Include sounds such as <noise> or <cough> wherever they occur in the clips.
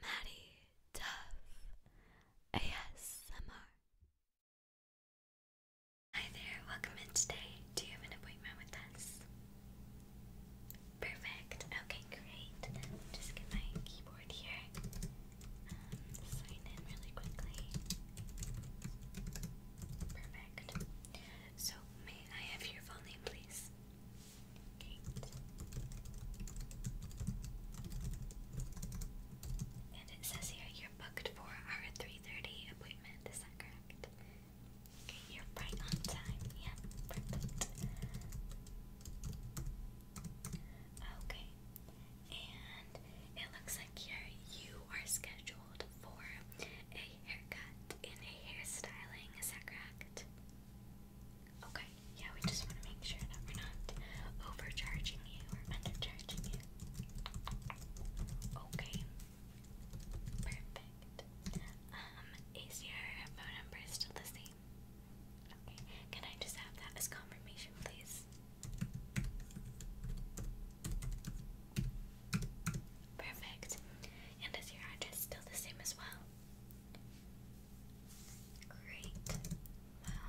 Maddie Duff ASMR. Hi there, welcome in today. Do you have an appointment with us? Perfect. Okay, great. just get my keyboard here. Um, sign in really quickly. Perfect. So, may I have your full name, please? And it says here you're booked for our 3.30 appointment, is that correct? Okay, you're right on time, yeah, perfect. Okay, and it looks like here you are scheduled for a haircut and a hairstyling, is that correct? Okay, yeah, we just want to make sure that we're not overcharging you or undercharging you. Okay, perfect. Um, is your phone number still the same? Okay, can I just have that as confirmation, please? Perfect. And is your address still the same as well? Great. Well,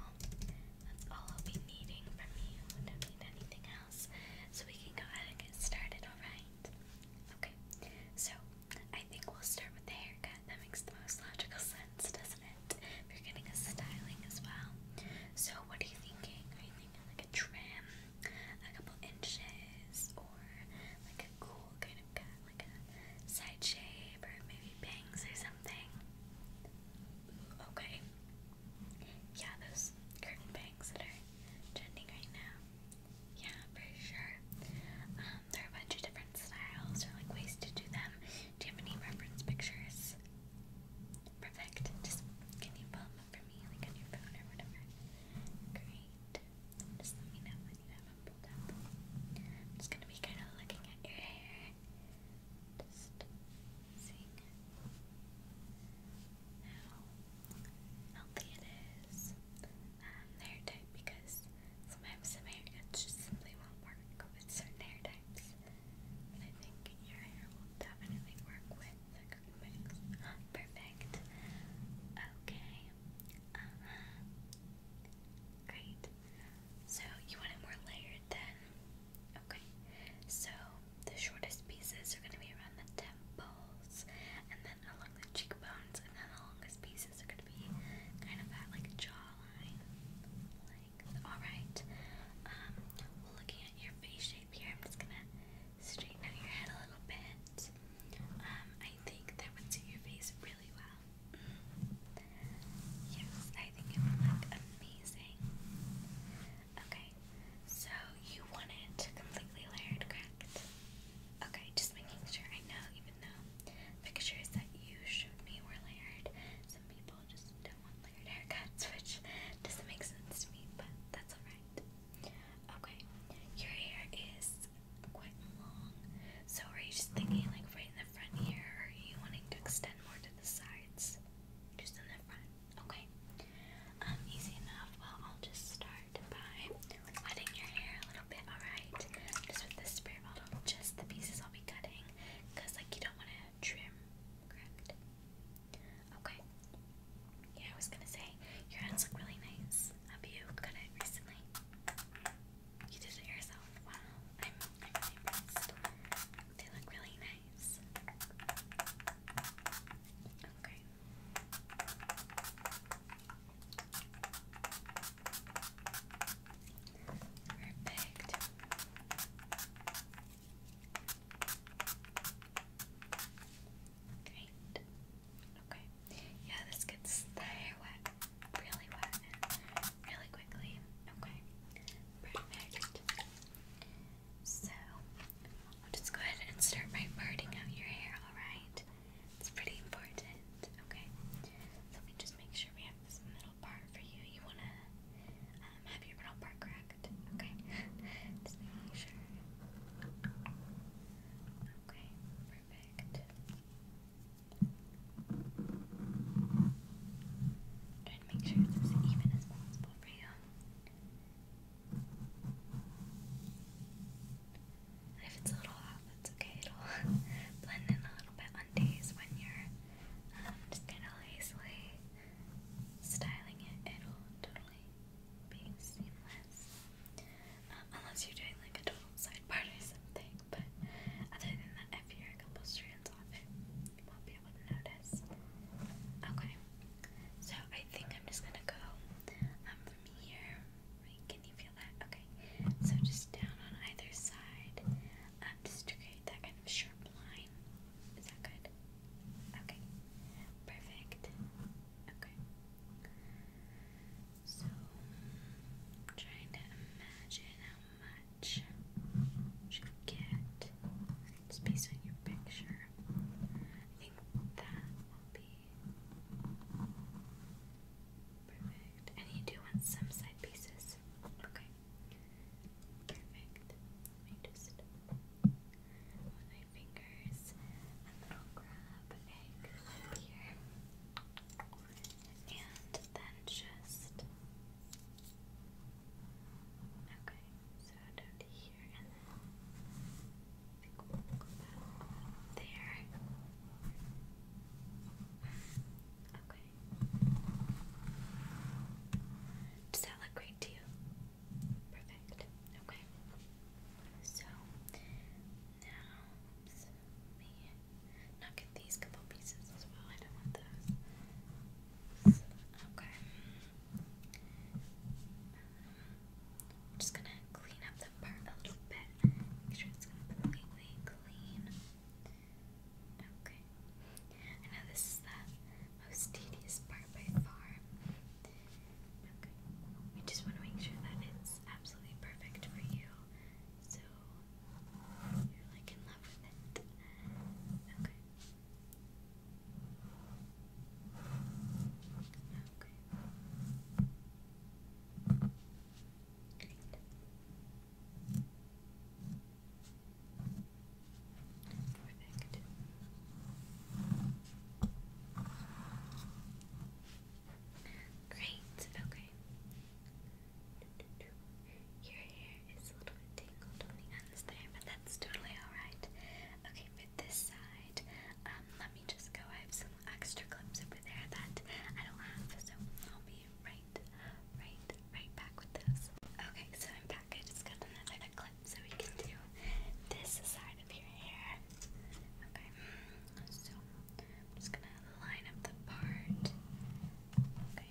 that's all I'll be needing from you. I need anything else. So we can go ahead and get started, alright? Okay. So, I think we'll start with the haircut. That makes the most logical sense, doesn't it? you are getting a styling as well. So, what are you thinking? Are you thinking like a trim, a couple inches, or like a cool kind of cut? like a side shape or maybe bangs or something. Okay. Yeah, those curtain bangs that are trending right now. Yeah, for sure. Um, there are a bunch of different styles or like ways to do them. Do you have any reference pictures? Perfect. Just can you pull them up for me, like on your phone or whatever? Great. Just let me know when you have them pulled I'm just gonna be kind of looking at your hair. Just seeing how healthy it is. Um, the hair type because sometimes some haircuts just simply won't work with certain hair types. I think your hair will definitely work with the mix. <gasps> Perfect. Okay. Uh-huh. Great. So you want it more layered then? Okay. So the shortest pieces are going to be around the temples and then along the cheekbones and then the longest pieces are going to be kind of at like jawline. Like, alright. Um, looking at your face shape here, I'm just going to straighten out your head a little bit. Um, I think that would suit your face really well. Yes, I think it would look amazing. Okay, so you want it completely layered, correct? Okay, just making sure I know, even though pictures that you showed me were layered, some people just don't want layered haircuts, <laughs> which doesn't make sense to me, but that's alright. Okay, your hair is quite long. So are you just thinking like right in the front here, or are you wanting to extend more to the sides? Just in the front, okay. Um, easy enough. Well, I'll just start by wetting your hair a little bit, alright? Just with this spray bottle, just the pieces I'll be cutting, because like you don't want to trim, correct? Okay. Yeah, I was gonna say, your ends look really nice. Have you cut it recently? You did it yourself. Wow. I'm impressed. They look really nice. Okay. Perfect. Great. Okay. Yeah, this gets the hair wet really wet and really quickly. Okay, perfect. So, I'll just go ahead and start by parting out your hair, alright? It's pretty important. Okay, so we just make sure we have this middle part for you. You want to um, have your middle part cracked, okay? <laughs> just making sure. Okay, perfect. Try to make sure it's as even as possible for you. if it's a little off, that's okay. It'll <laughs> blend in a little bit on days when you're um, just kind of lazily styling it. It'll totally be seamless unless you're doing like a total side part or something. But other than that, if you're a couple strands off, you won't be able to notice. Okay, so I think I'm just gonna go um, from here. Can you feel that? Okay, so just down on either side, um, just create that kind of sharp line. Is that good? Okay, perfect. Okay. So, I'm trying to imagine how much you get just based on your picture. I think that will be perfect. And you do some side pieces. Okay. Perfect. Let me just with my fingers and then I'll grab a glue here and then just okay, so down here, and then I think we'll go back there. Okay, does that look great to you? Perfect. Okay, so now. Now just gonna clean up the part a little bit. Make sure it's completely clean. Okay. I know this is the most tedious part by far. Okay. We just want to make sure that it's absolutely perfect for you. So you're like in love with it. Okay. Okay. Great. Perfect. Great, okay. Your hair is a little bit tangled on the ends there, but that's totally alright. Okay, for this side, um, let me just go. I have some extra clips over there that I don't have, so I'll be right, right, right back with this. Okay, so I'm back. I just got another clip so we can do this side of your hair. Okay, so I'm just gonna line up the part. Okay,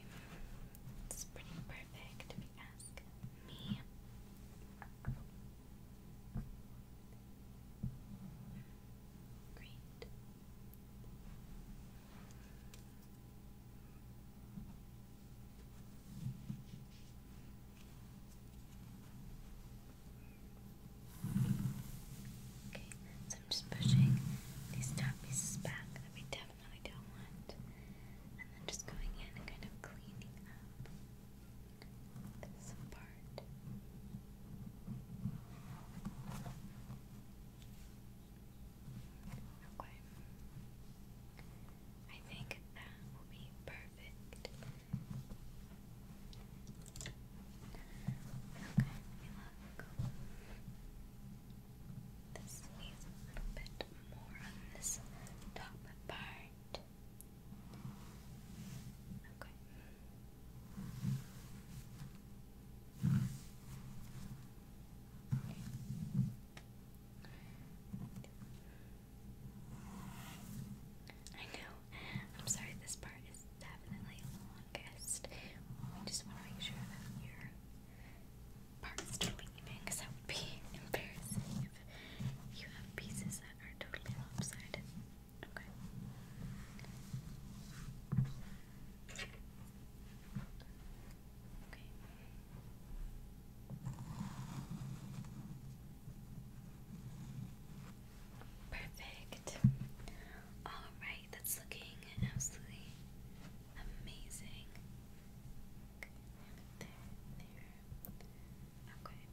it's pretty perfect if you ask me. Great. Okay, so I'm just pushing these top pieces back that we definitely don't want. And then just going in and kind of cleaning up this part. Okay. I think that will be perfect. Okay, let me look. This needs a little bit more on this top part. Okay. I know. I'm sorry, this part is definitely longest. We just want to make sure that your part's totally even, because that would be <laughs> embarrassing if you have pieces that are totally lopsided. Okay. Okay. Perfect. Alright, that's looking absolutely amazing. Okay.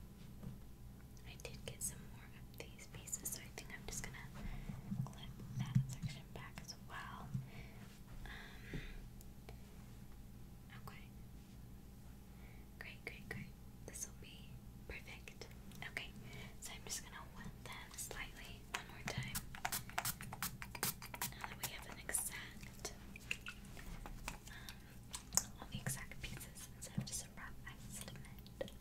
I did get some more of these pieces, so I think I'm just gonna clip that section back as well. Um, okay. Great, great, great. This will be perfect. Perfect. Okay, so I'm just gonna wet slightly one more time. Now that we have an exact, um, the exact pieces instead of just a rough estimate.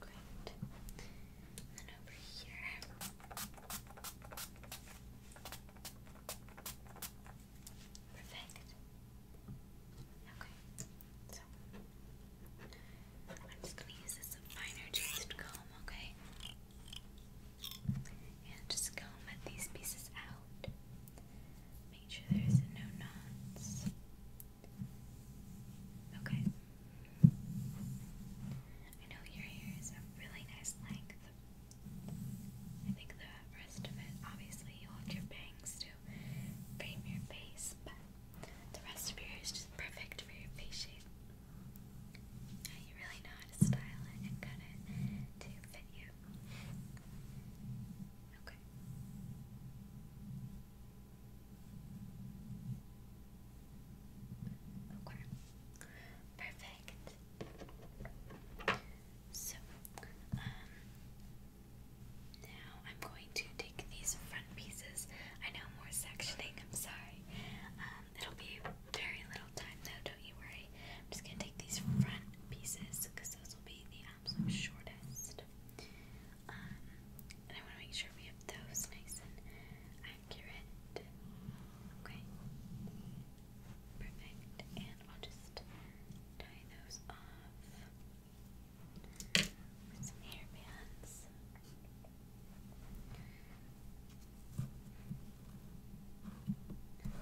Great. then over here. Perfect. Okay, so I'm just gonna use this finer tooth comb, okay? And just comb these pieces out. Make sure there's no knots. Okay. I know your hair is a really nice length. I think the rest of it, obviously, you have your bangs to frame your face, but the rest of your hair is just perfect for your face shape. you really know how to style it and cut it to fit you. Okay. Okay. Perfect. So, um, now I'm going to take these front pieces. I know more sectioning, I'm sorry. Um, it'll be very little time though, don't you worry. I'm just going to take these front pieces because those will be the absolute shortest. Um, and I want to make sure we have those nice and accurate. Okay. Perfect. And I'll just tie those off some hair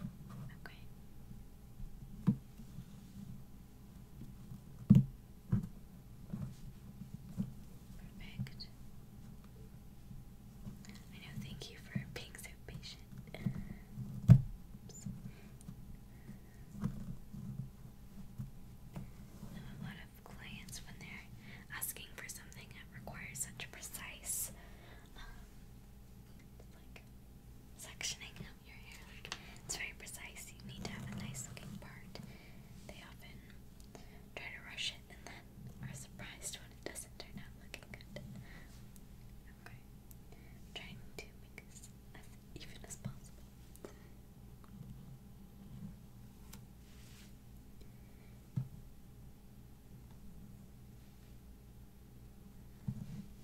Okay. Perfect. I know, thank you for being so patient a lot of clients when they're asking for something that requires such precise, um, like sectioning of your hair, like it's very precise. You need to have a nice looking part. They often try to rush it and then are surprised when it doesn't turn out looking good. Okay, trying to make this even as possible.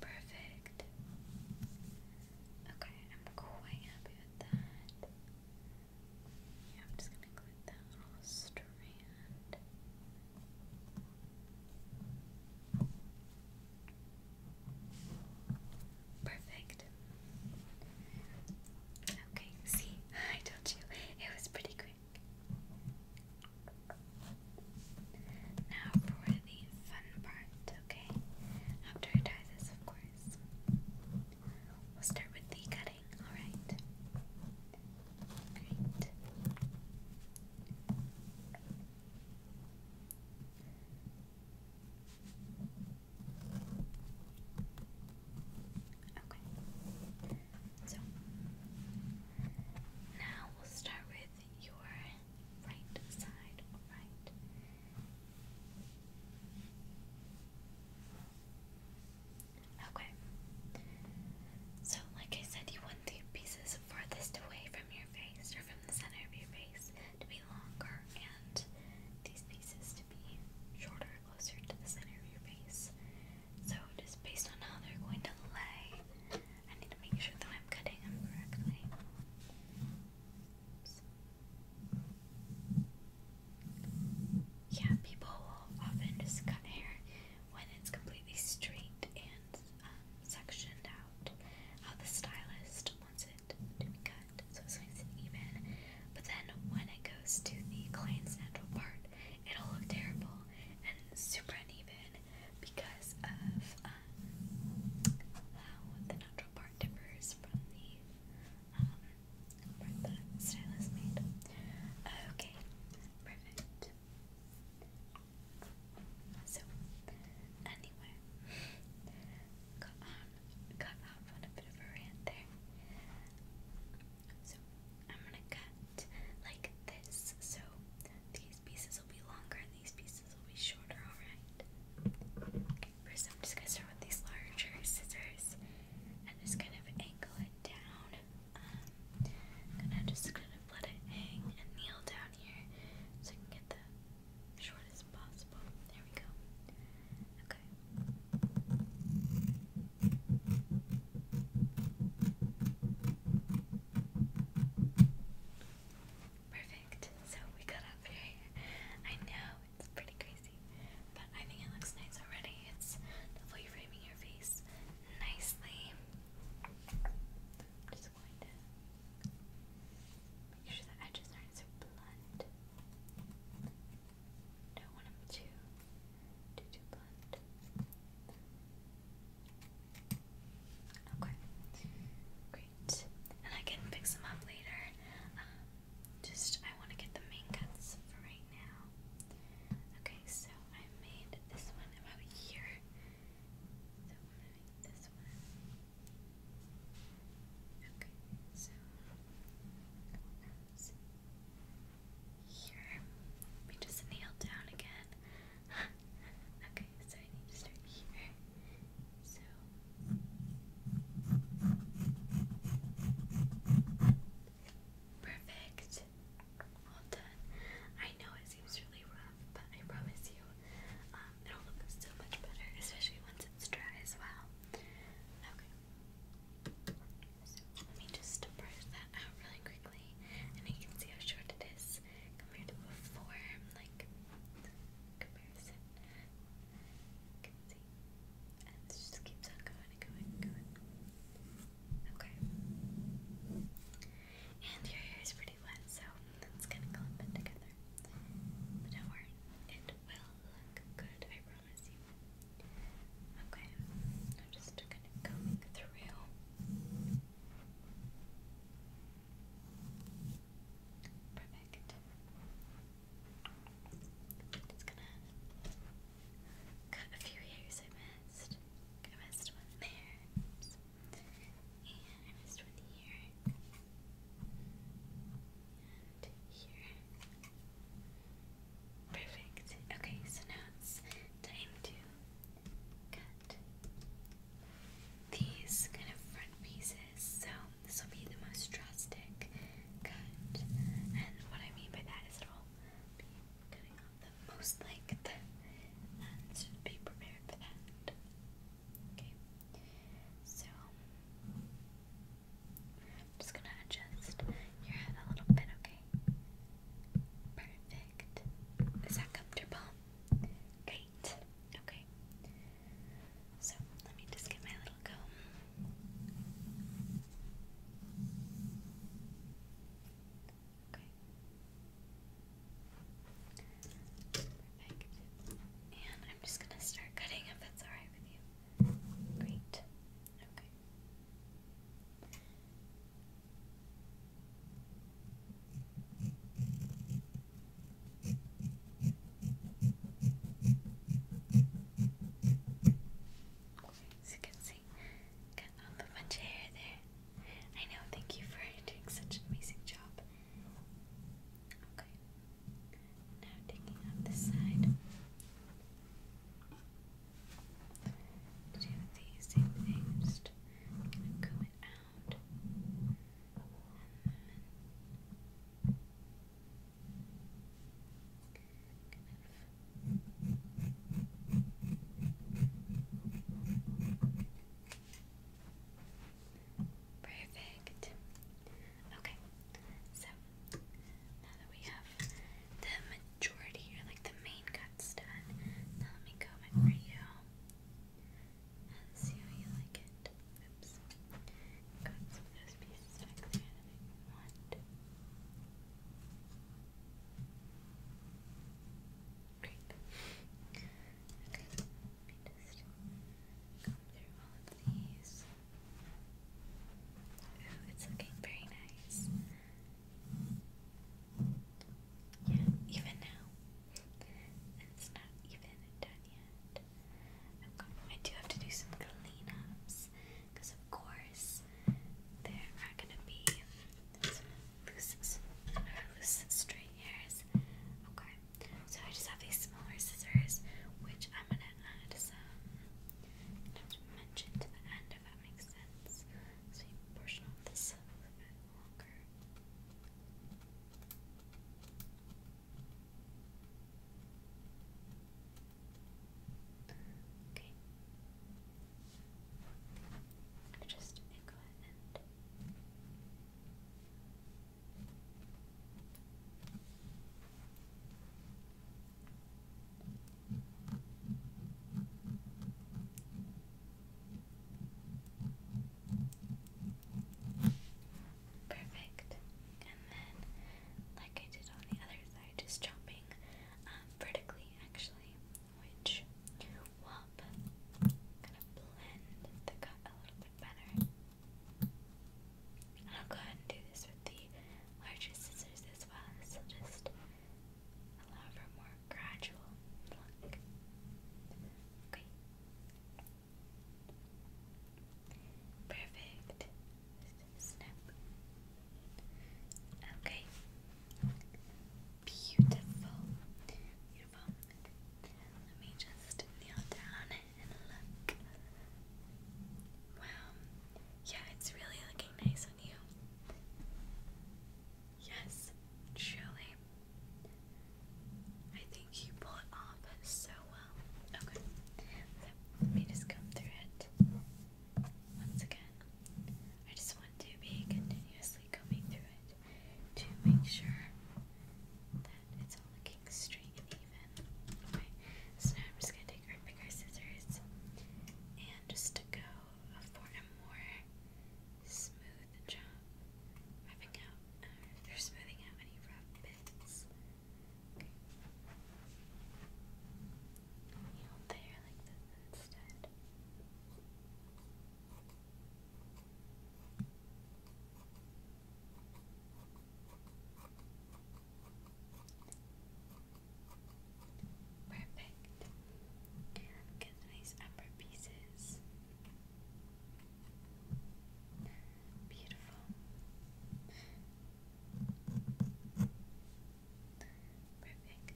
Perfect. Okay, I'm quite happy with that. Yeah, I'm just gonna include that little strand. Perfect. Okay, see, I told you it was pretty quick. Now for the fun part, okay? After I tie of course. We'll start with the cutting, alright? Great. Okay. So now we'll start with your right side, alright? Okay. So, like I said, you want the pieces farthest away from from your face or from the center of your face to be longer and these pieces to be shorter, closer to the center of your face. So just based on how they're going to lay, I need to make sure that I'm cutting them correctly. Yeah, people will often just cut hair when it's completely straight and um, sectioned out. How the stylist wants it to be cut so it swings it even. But then when it goes to the client's natural part, it'll look terrible and super uneven because of um, how the natural part differs from the um, made. Okay, perfect. So, anyway, got on, um, got off on a bit of a rant there. So, I'm gonna cut like this, so these pieces will be longer and these pieces will be shorter, alright? first I'm just gonna start with these larger scissors and just kind of angle it down. Um, I'm gonna let it hang and kneel down here so I can get the short as possible. There we go. Okay. Perfect. So we got up here. I know it's pretty crazy, but I think it looks nice already. It's definitely framing your face nicely make sure the edges aren't so blunt. Don't want them too, too, too blunt. Okay, great. And I can fix them up later. Um, just I want to get the main cuts right now. Okay, so I made this one about here. So I'm to make this one. Okay, so else? Here, we just nailed down again. <laughs> okay, so I need to start here. So. Perfect. All done. I know it seems really but I promise you, um, it'll look so much better, especially once it's dry as well. Okay. let me just brush that out really quickly, and you can see how short it is compared to before, like comparison. keeps on going and going and going. Okay. And your hair is pretty so it's gonna clump together. But don't worry, it will look good, I promise you. Okay, I'm just gonna comb through. Perfect. Just gonna cut a few hairs I missed. I missed one there. And I messed with here. And here. Perfect. Okay, so now it's time to cut these kind of front pieces. So this will be the most drastic cut. And what I mean by that is it'll be cutting off the most length. And be prepared for that. Okay, so I'm just gonna adjust your head a little bit, okay? Perfect. Is that comfortable? Great. Okay. So let me just get my little comb. Okay. And I'm just gonna start cutting if that's alright with you. Great. Okay. As you can see, got a bunch of hair there. I know, thank you for doing such an amazing job. Okay. Now taking out this side. Do the same thing. just gonna comb it out. And then Perfect. Okay, so now that we have the majority like the main cuts done, now let me comb it for you and see how you like it. Oops. Got some of those pieces back Great. Let me just go through all of these. Ooh, it's looking very nice. Yeah, even now. It's not even done yet. I do have to do some cleanups because, of course, there are going to be some loose, loose stray Okay, so I just have these smaller scissors, which I'm gonna add some dimension to the end, if that makes sense. So portion off this a little bit longer. Okay. Just go ahead and Perfect. And then, like I did on the other side, just chopping um, vertically actually, which kind of blend the cut a little bit better. I'll go ahead and do this with the larger scissors as well. This will just allow for more gradual look. Okay. Perfect. Snap. Okay. Beautiful moment. Let me just kneel down and look. Wow. Yeah, it's really looking nice on you. Yes, truly. I think you pull it off so well. Okay. let me just come through it once again. I just want to be continuously going through it to make sure it's all looking straight and even. Okay, so now I'm just gonna take our bigger scissors and just go for a more smooth job, rubbing out um, smoothing out any rough bits. Okay. like this instead. Perfect. And get these upper pieces. Beautiful. Perfect.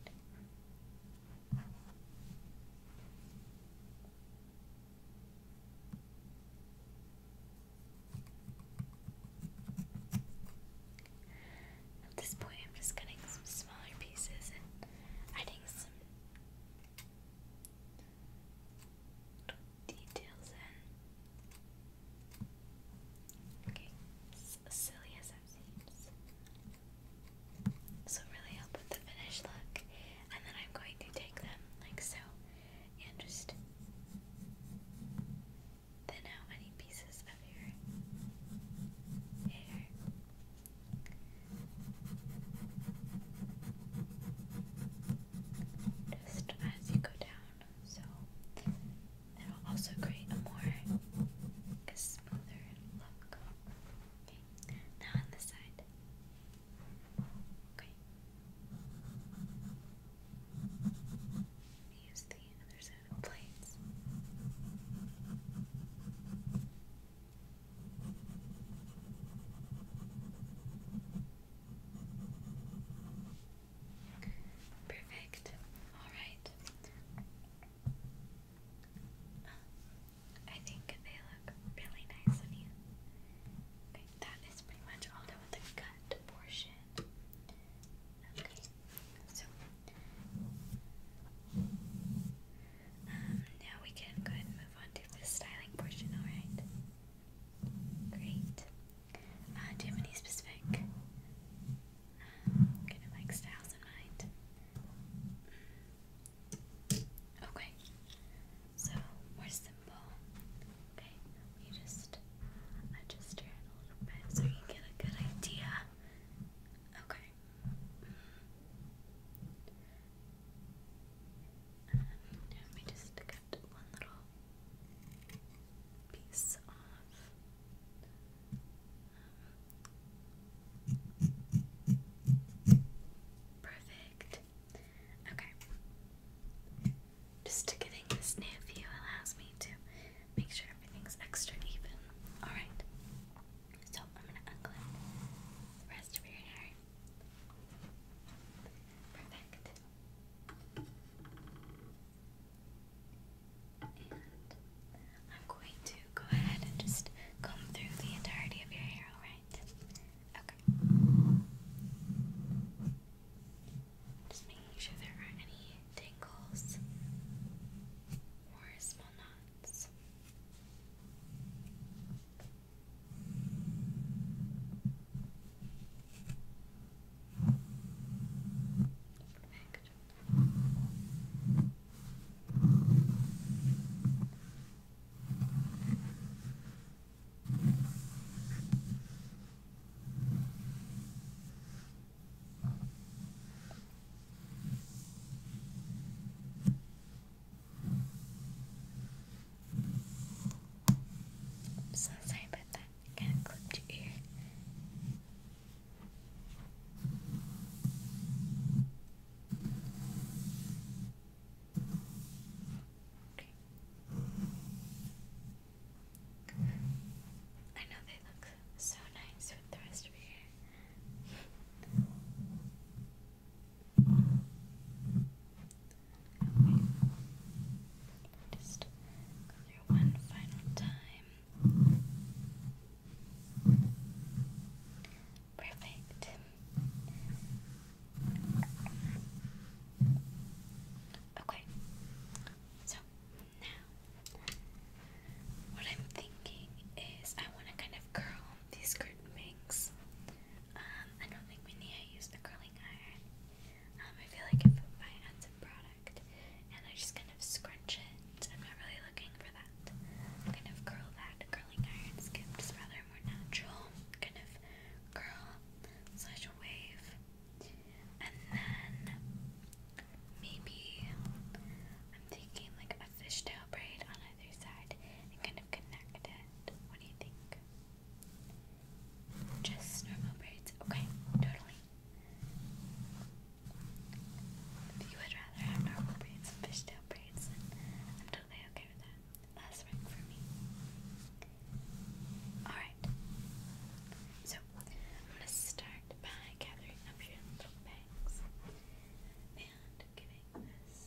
At this point, I'm just cutting some smaller pieces and adding some details in. Okay, silly as that seems. So really help with the finished look, and then I'm going to take them like so and just thin out any pieces of your hair. Just as you go down, so it'll also create a more a smoother look. Okay. Now on the side. Okay. Use the other side of plates. Perfect. All right. I think they look really nice on you right, that is pretty much all done the cut portion. Okay, so um, now we can go ahead and move on to the styling portion, alright? Great. Uh, do you have any specific um, kind of like styles in mind? Okay, so where's the simple. Okay, you just adjust your head a little bit so you get a good idea. Okay. Um, let just cut one little piece off. Um, perfect. Okay. Just to getting this new view allows me to make sure everything's extra even. Alright. So I'm gonna unclip the rest of your hair. Perfect. And I'm going to go ahead and just comb through the entirety of your hair, alright? Okay. Just making sure there aren't any tangles or small knots. Perfect. Okay. I'm so sorry about that. kind of clipped your ear. Okay. I know they look so nice with the rest of your Just go one final time. Perfect. Okay, so now what I'm thinking is I want to kind of curl these curtain bangs. Um, I don't think we need to use the curling iron. Um, I feel like if I had some product and I just kind of scrunch it, I'm not really looking for that. Kind of curl that curling iron skip, just rather more natural, kind of curl, slash wave, and then maybe I'm thinking like a fishtail braid on either side and kind of connect it. What do you think? Just normal braids. Okay, totally. If you would rather have normal braids and fishtail braids, I'm totally okay with that. That's right for me. Alright. So, I'm going to start by gathering up your little bags and giving this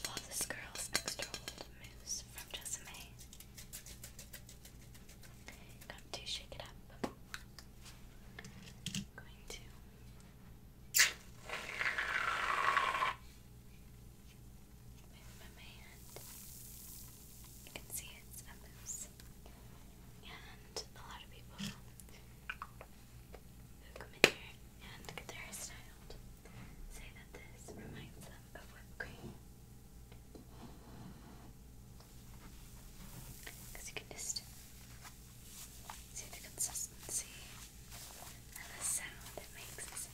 Flawless Girls Extra Old Mousse from Jessamay. Got to shake it up. going to Move my hand. You can see it's a mousse. And a lot of people who come in here and get their styled say that this reminds them of whipped cream. you can just see the consistency and the sound it makes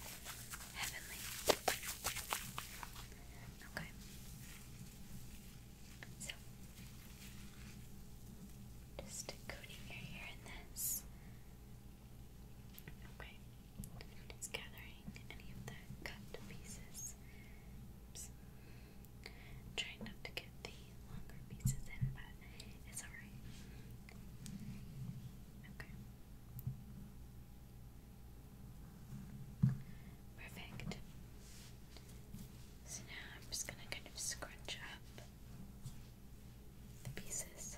heavenly. Okay. So, just coating your hair in this. Okay. Just gathering any of the cut pieces. Oops. not to get the few longer Perfect. So now I'm just gonna kind of scrunch up the pieces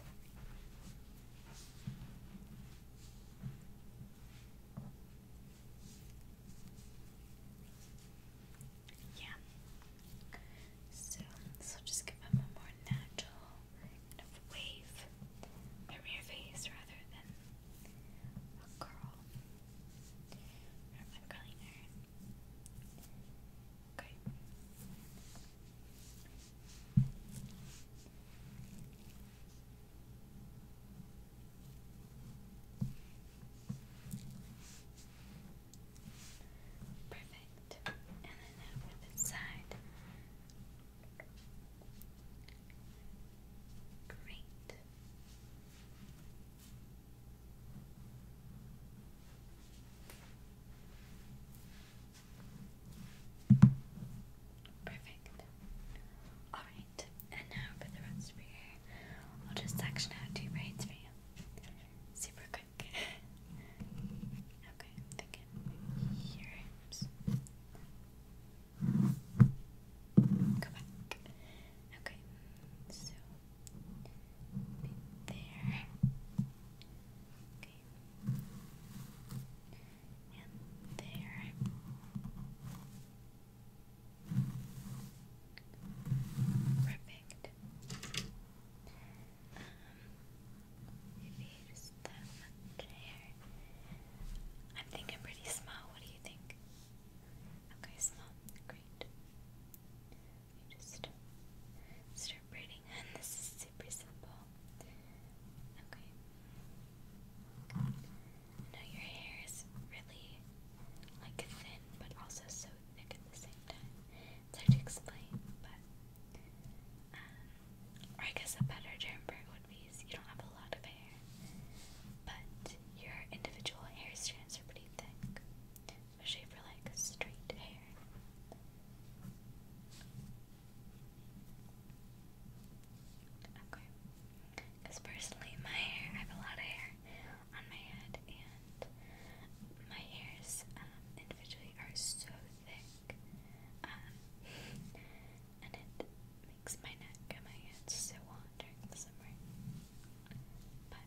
yeah. So this just give them a more natural kind of wave from your face rather than a curl from a curling iron. Okay. Perfect. And then over this side. Great. Perfect. Alright, and now for the rest of your hair, I'll just section out two braids for you. Super quick back. <laughs> okay, I'm thinking maybe here. Oops. Go back. Okay, so there. Okay. And there. I um, think I'm pretty small. What do you think? Okay, small. Great. You just start braiding, this is super simple. Okay. Now your hair is really like thin, but also so thick at the same time hard to explain, but um, or I guess a better term for would be is you don't have a lot of hair, but your individual hair strands are pretty thick, especially for like straight hair. Okay, because personally, my hair, I have a lot of hair on my head, and my hair's um, individually are so thick, um, and it makes my neck and my head so hot during the summer. But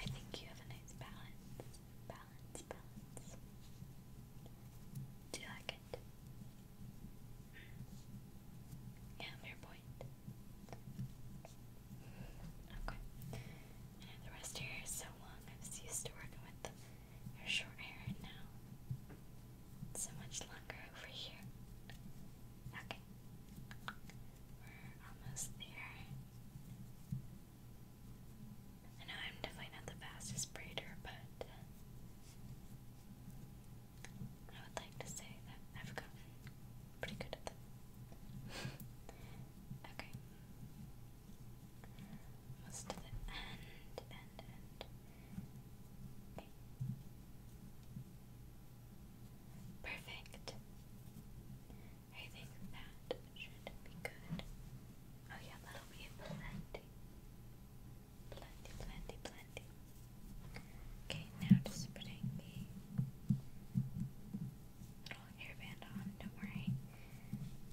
I think you have a nice balance, balance, balance. Do you like it? Yeah, fair point. Okay. I know the rest of so long. I was used to working with your short hair, and now so much longer over here. Okay. We're almost there. I know I'm definitely not the fastest braider, but uh, I would like to say that I've gotten pretty good at them. <laughs> Okay. Almost to the end, end, end. Okay. Perfect. I think that should be good. Oh yeah, that'll be plenty. Plenty, plenty, plenty. Okay, now just putting the little hairband on, don't worry.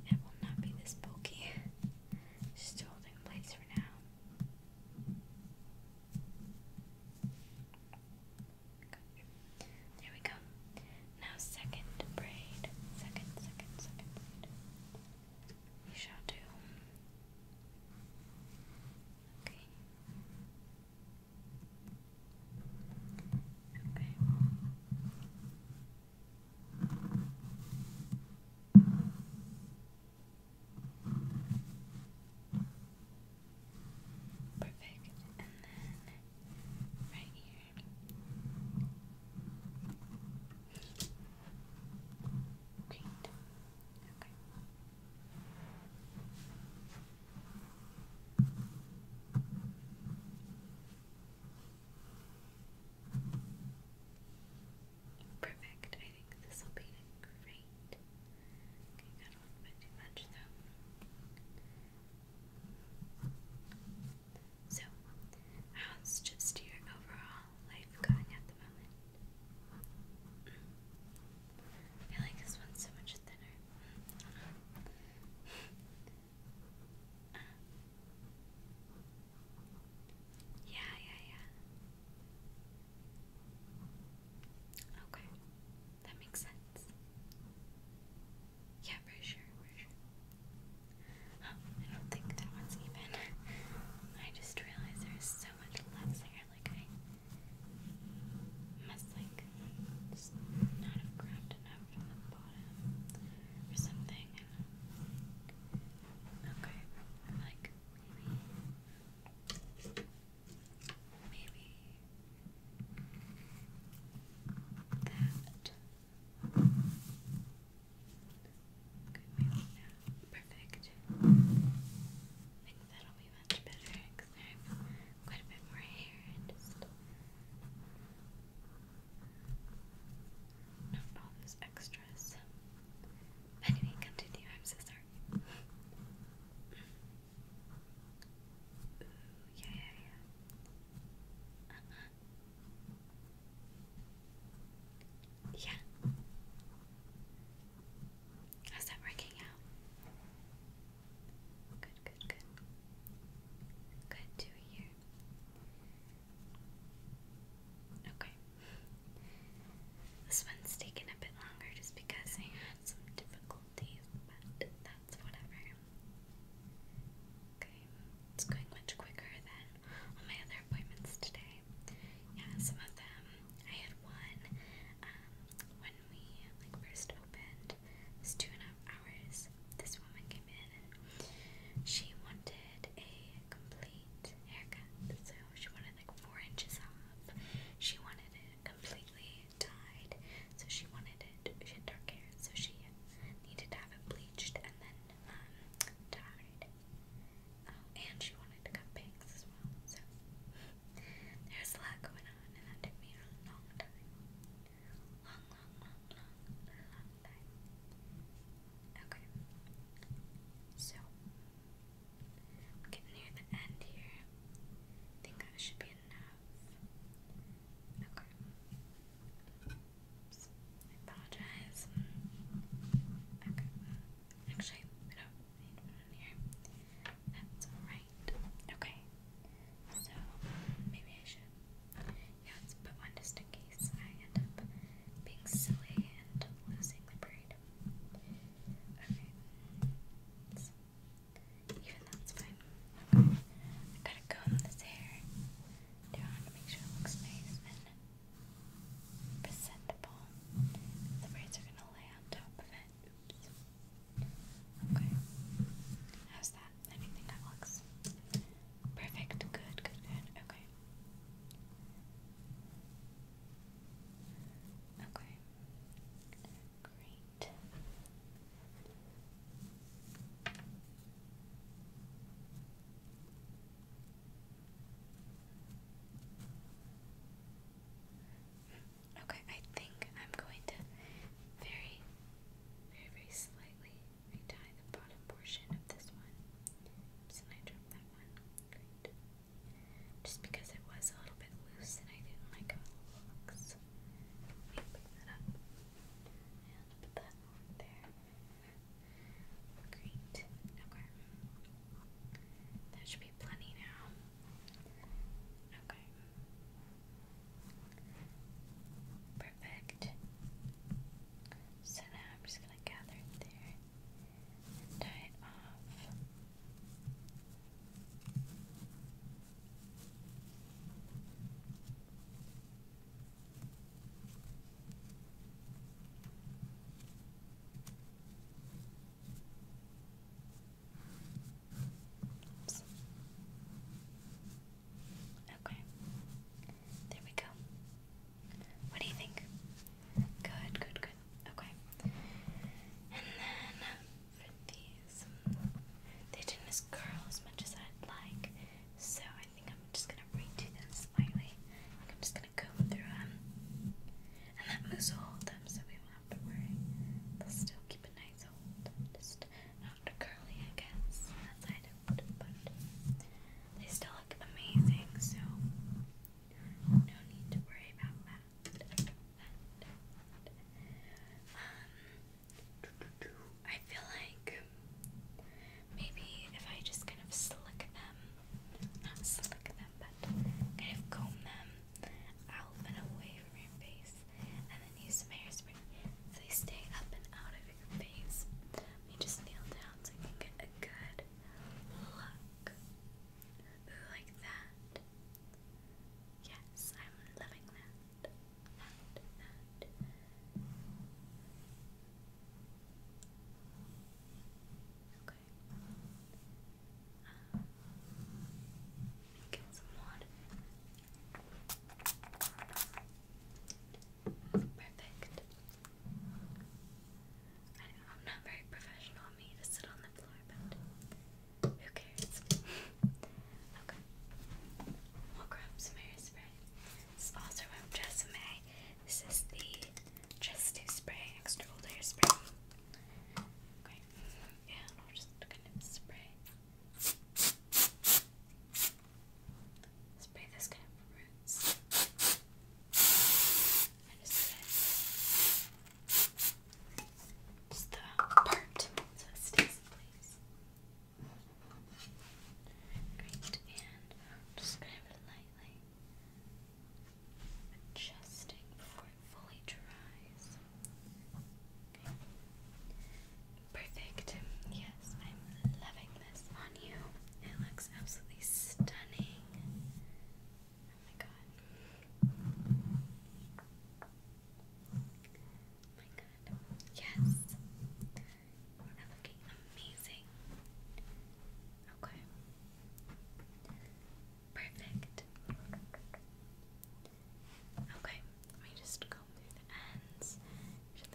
It will not be this bulky. Just holding place for now. There we go. Now second braid. Second, second, second braid. We shall do. Okay. Okay. Perfect. And then right here. Okay. Okay. Perfect. I think this will be great. Okay, got a little bit too much though. So, how's just your overall life going at the moment? Mm. I like this one so much thinner. <laughs> Yeah, yeah, yeah. Okay. That makes sense. Yeah, for sure, for sure. I don't think that one's even. I just realized there's so much left there. Like, I must, like, just not have grabbed enough something on or something. Okay, like maybe, that. Okay, Perfect. I think that'll be much better quite a bit more hair and just. Not all those extras. Anyway, continue. I'm so sorry. yeah, yeah, yeah. Uh-huh. Yeah. How's that working out? Good, good, good. Good to hear. Okay. This one's taken a bit longer just because I had some difficulties, but that's whatever. Okay, it's going much quicker than all my other appointments today. Yeah, some of them I had one um, when we like first opened. It two and a half hours. This woman she wanted a complete haircut. So she wanted like four inches off. She wanted it completely dyed. So she wanted it, she had dark hair. So she needed to have it bleached and then dyed. Um, oh, and she wanted to cut bangs as well. So there's a lot going on and that took me a long time long, long, Okay. So, getting near the end here. I think that should be enough. Okay. I apologize. Okay. Actually, we don't need one here. That's alright. Okay. So, maybe I should yeah, let's put one just in case I end up being silly and losing the braid. Okay. even that's fine. Okay. I gotta comb this hair down to make sure it looks nice and presentable. The braids are gonna lay on top of it. Oops. Okay. How's that? that. that looks perfect. Good, good, good. Okay. Okay. Great. Okay, I think I'm going to very, very, very slightly I tie the bottom portion of this one. Oops, and I dropped that one. Great. Just because it was a little bit loose and I didn't like how it looks. Let me pick that up. And put that over there. Great. Okay. That should be plenty now. Okay. Perfect. So now I'm just going to gather it there and tie it off. Okay. There we go. What do you think? Good, good, good. Okay. And then for these, they didn't curl as much as I'd like, so I think I'm just gonna redo them slightly. Like I'm just gonna comb through them, and that moves will hold them, so we won't have to worry. They'll still keep a nice hold. Just curly, I guess. That's I but they still look amazing, so no need to worry about that. Um, I feel like maybe if I just kind of slick them, not slick them, but kind of comb them out and away from face, and then use some hairspray they stay up and out of over your face. Let me just kneel down so you can get a good look. Ooh, like that. Yes, I'm loving that. That, that. Okay. Um, get some water. Perfect. I am not very professional of me to sit on the floor, but who cares? okay. We'll grab some hairspray. This also from Jessamay. This is the Just Do Spray Extra Old Hairspray. Okay. Yeah, I'll just kind of spray spray this kind of roots. just the part so it stays in place. Great, and I'm just gonna lightly adjusting before it fully dries. Perfect. Yes, I'm loving this on you. It looks absolutely stunning. Oh my god. Oh my god. Yes. You are looking amazing. Okay. Perfect. Okay, let me just go Perfect.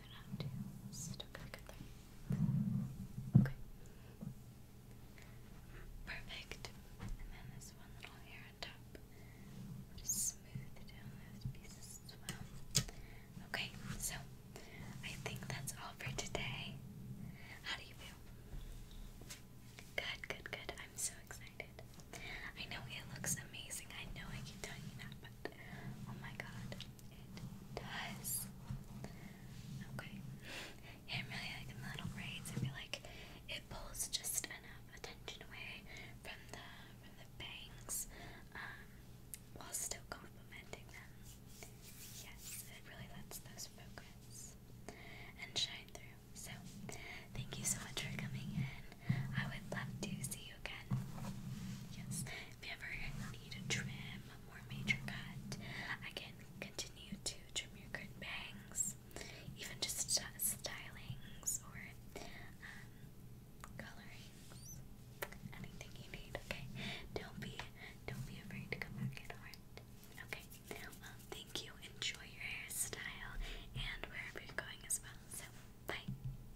And then this one little hair on top. We'll just smooth down those pieces as well. Okay, so I think that's all for today. How do you feel? Good, good, good. I'm so excited. I know it looks amazing. I know I keep telling you that, but Oh my god. It does. Okay. I'm really liking the little braids. I feel like it pulls just enough attention away from the from the bangs, um, while still complementing them. Yes, it really lets those focus and shine through. So, thank you so much for coming in. I would love to see you again. Yes, if you ever need a trim, a more major cut, I can continue to trim your good bangs, even just stylings or um, colorings, anything you need. Okay, don't be don't be afraid to come back at all. Okay, thank you. Enjoy your hairstyle and wherever you're going as well. So, bye.